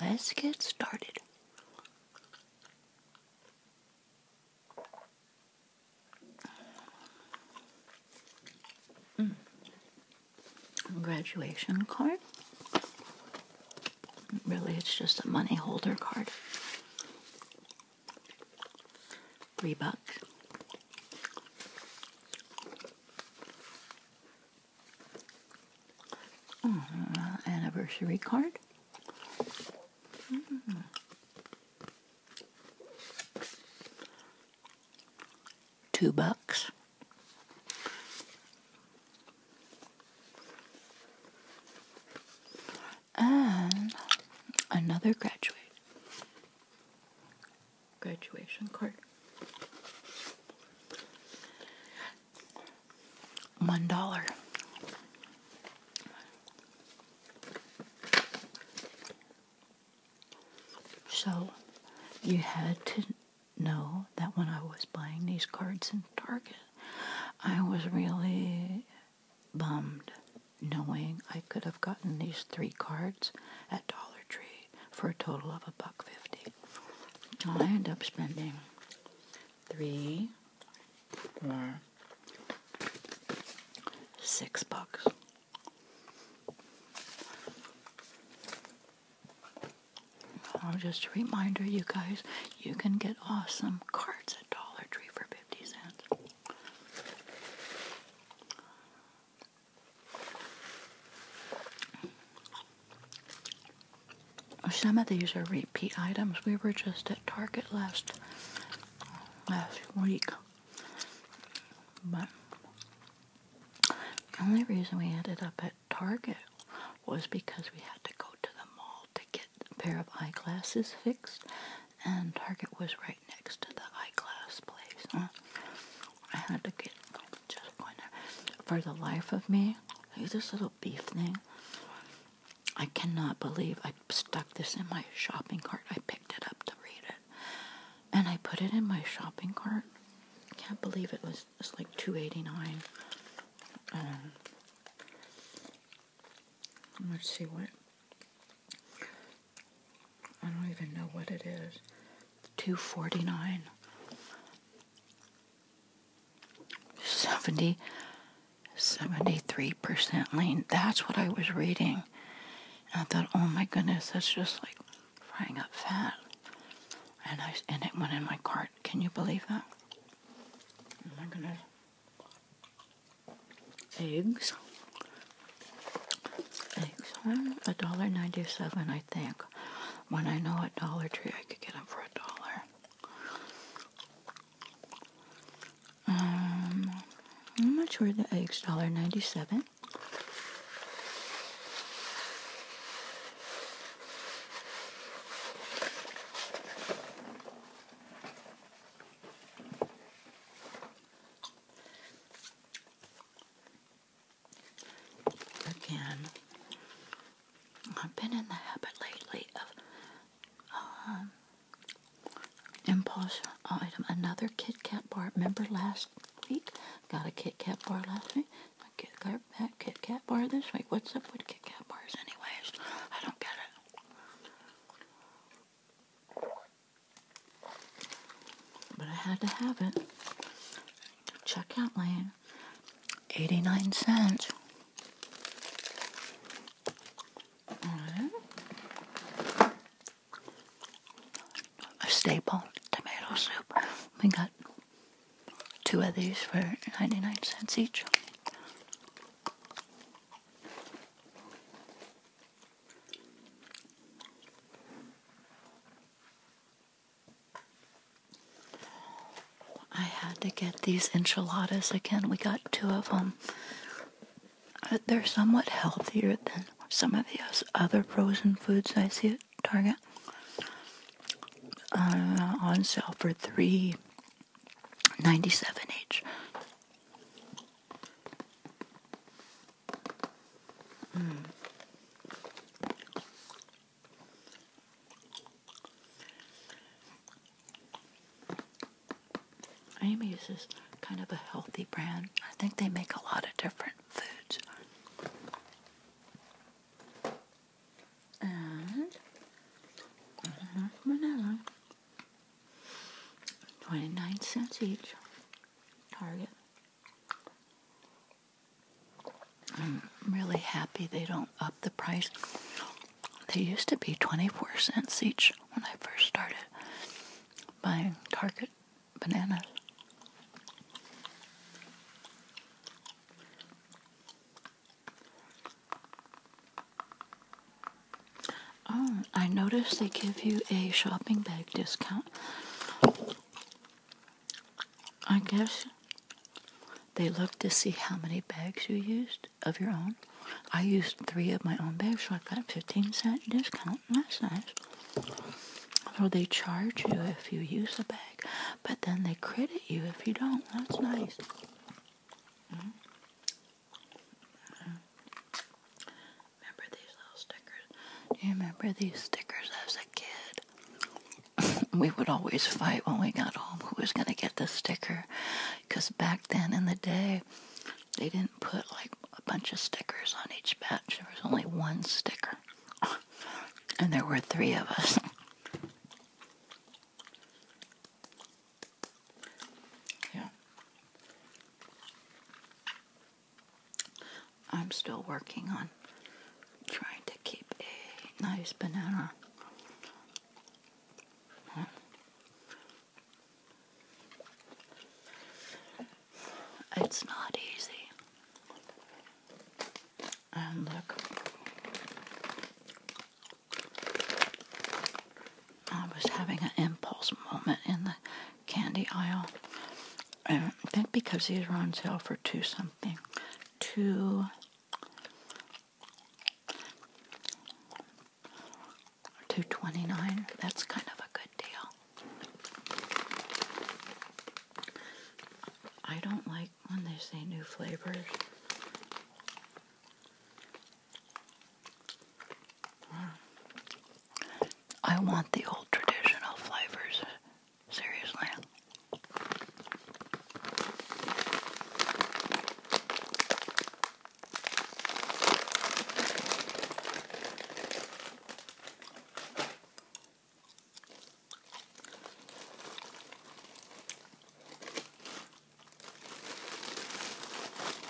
Let's get started. Mm. Graduation card. Really, it's just a money holder card. Three bucks. Mm, anniversary card. Mm. Two bucks. And another graduate graduation card. One dollar. So you had to know that when I was buying these cards in Target, I was really bummed knowing I could have gotten these three cards Dollar Tree for a total of a buck fifty. I end up spending three, four, six bucks. just a reminder, you guys, you can get awesome cards at Dollar Tree for 50 cents. Some of these are repeat items. We were just at Target last last week. But the only reason we ended up at Target was because we had to go to the mall to get a pair of eyeglasses fixed, and Target was right next to the eyeglass place. I had to get for the life of me, see this little beef thing? I cannot believe I stuck this in my shopping cart. I picked it up to read it. And I put it in my shopping cart. Can't believe it was it's like two eighty nine. Um, let's see what I don't even know what it is. 249 70 73% lean. That's what I was reading. And I thought, oh my goodness, that's just like frying up fat. And I and it went in my cart. Can you believe that? Oh my goodness. Eggs. Eggs. A dollar ninety seven I think when I know at Dollar Tree I could get them for a dollar. Um, how much were the eggs? Dollar ninety-seven. Again, I've been in the habit lately of um, impulse item. Another Kit Kat bar. Remember last week? Got a Kit Kat bar last week. I Kit Kat bar this week. What's up with Kit Kat bars, anyways? I don't get it. but I had to have it. Check out lane. 89 cents. A staple tomato soup. We got two of these for 99 cents each. I had to get these enchiladas again. We got two of them. Uh, they're somewhat healthier than some of the other frozen foods I see at Target. Uh, on sale for three ninety-seven each. Mm. Amy's is kind of a healthy brand. I think they make a lot of different foods. And uh-huh, vanilla. 29 cents each. Target. I'm really happy they don't up the price. They used to be 24 cents each when I first started buying Target bananas. Oh, I noticed they give you a shopping bag discount. I guess they look to see how many bags you used of your own. I used three of my own bags, so I got a 15 cent discount. That's nice. So they charge you if you use a bag, but then they credit you if you don't. That's nice. Mm-hmm. Mm-hmm. Remember these stickers. Do you remember these stickers as a kid? we would always fight when we got home who was going to get the sticker. Because back then in the day, they didn't put like a bunch of stickers on each batch. There was only one sticker. and there were three of us. yeah. I'm still working on trying to keep a nice banana. It's not easy. And look, I was having an impulse moment in the candy aisle. Uh, I think because these are on sale for two something. Two. Two twenty nine. That's kind of a good deal. I don't like when they say new flavors. I want the old traditional flavors Seriously.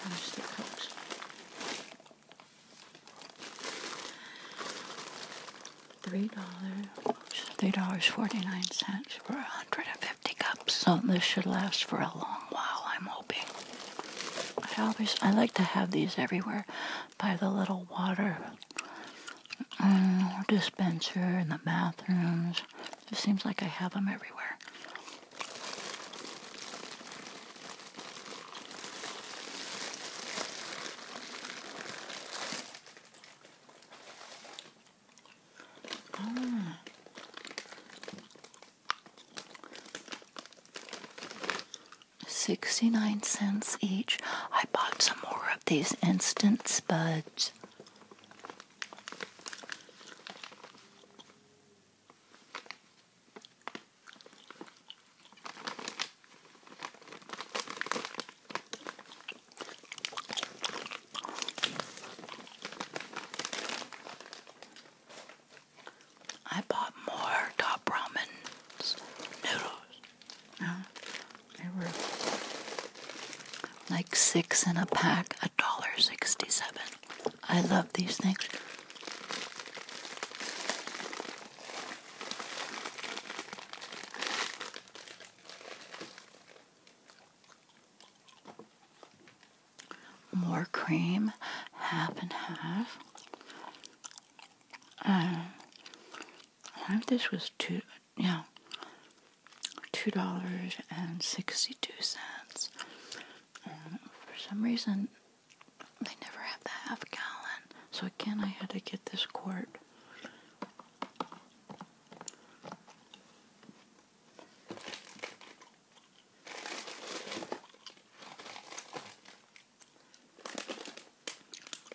There's the cups. Three dollars, three dollars forty nine cents for hundred and fifty cups. So this should last for a long while. I'm hoping. I always I like to have these everywhere, by the little water mm, dispenser in the bathrooms. It seems like I have them everywhere. Sixty-nine cents each. I bought some more of these instant spuds. I bought more top ramen noodles. they were like six in a pack, a dollar sixty-seven. I love these things. More cream, half and half. Uh, I think this was two, yeah, two dollars and sixty-two cents. Um, for some reason, they never have that half gallon. So again, I had to get this quart.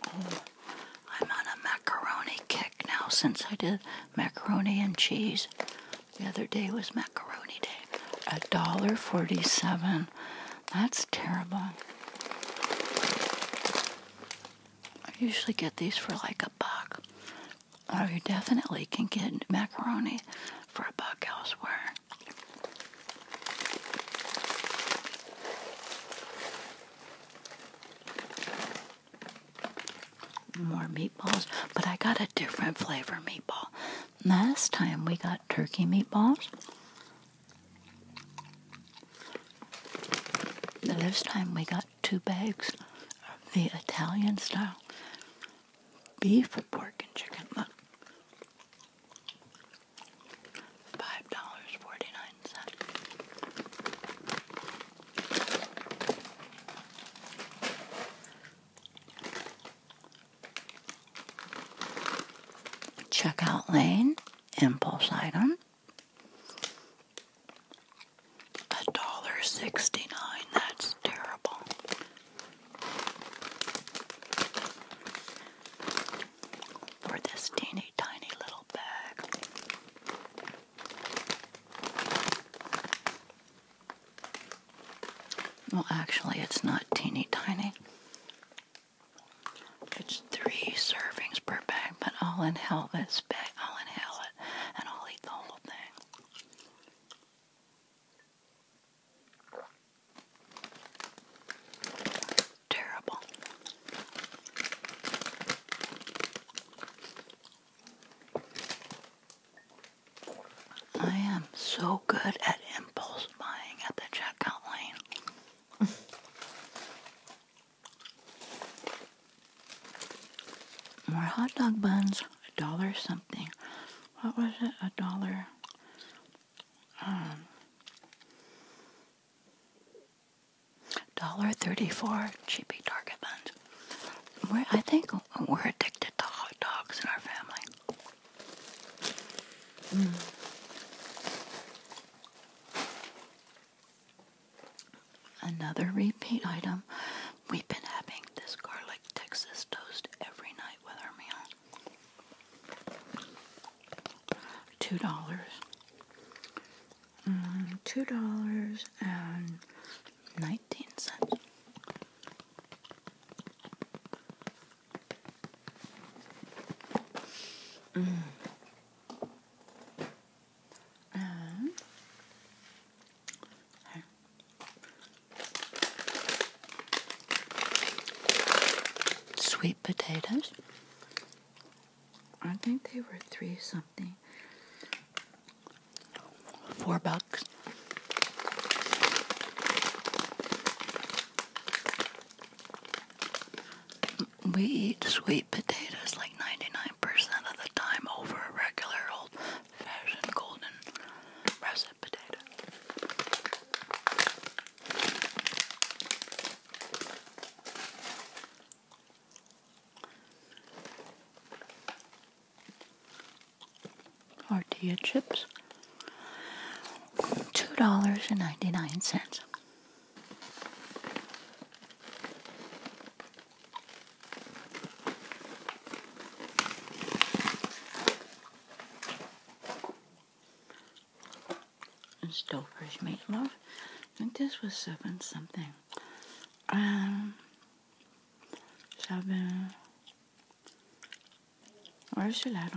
Oh, I'm on a macaroni kick now since I did macaroni and cheese. The other day was macaroni day. A dollar forty-seven. That's terrible. I usually get these for like a buck. Oh, you definitely can get macaroni for a buck elsewhere. More meatballs, but I got a different flavor meatball. Last time we got turkey meatballs, the last time we got two bags of the Italian style beef, pork, and chicken. Look. $5.49. Checkout lane, impulse item. A dollar sixty nine, that's terrible. For this teeny tiny little bag. Well, actually, it's not teeny tiny. It's three servings per bag, but I'll inhale this bag. I'll inhale it, and I'll eat the whole thing. Terrible. I am so good at impulse buying at the checkout lane. More hot dog buns, a dollar something. What was it? A dollar. Um, dollar thirty-four cheapy Target buns. I think we're addicted to hot dogs in our family. Mm. Another repeat item. We've been having this garlic Texas toast every night with our meal. Two dollars. Mm, two dollars and nineteen cents. Mm. Um. Sweet potatoes. I think they were three something. Four bucks. We eat sweet potatoes like 99% of the time over a regular old fashioned golden russet potato. Artia chips. $2.99. And Stouffer's meatloaf. I think this was seven something. Um, seven. Where's your light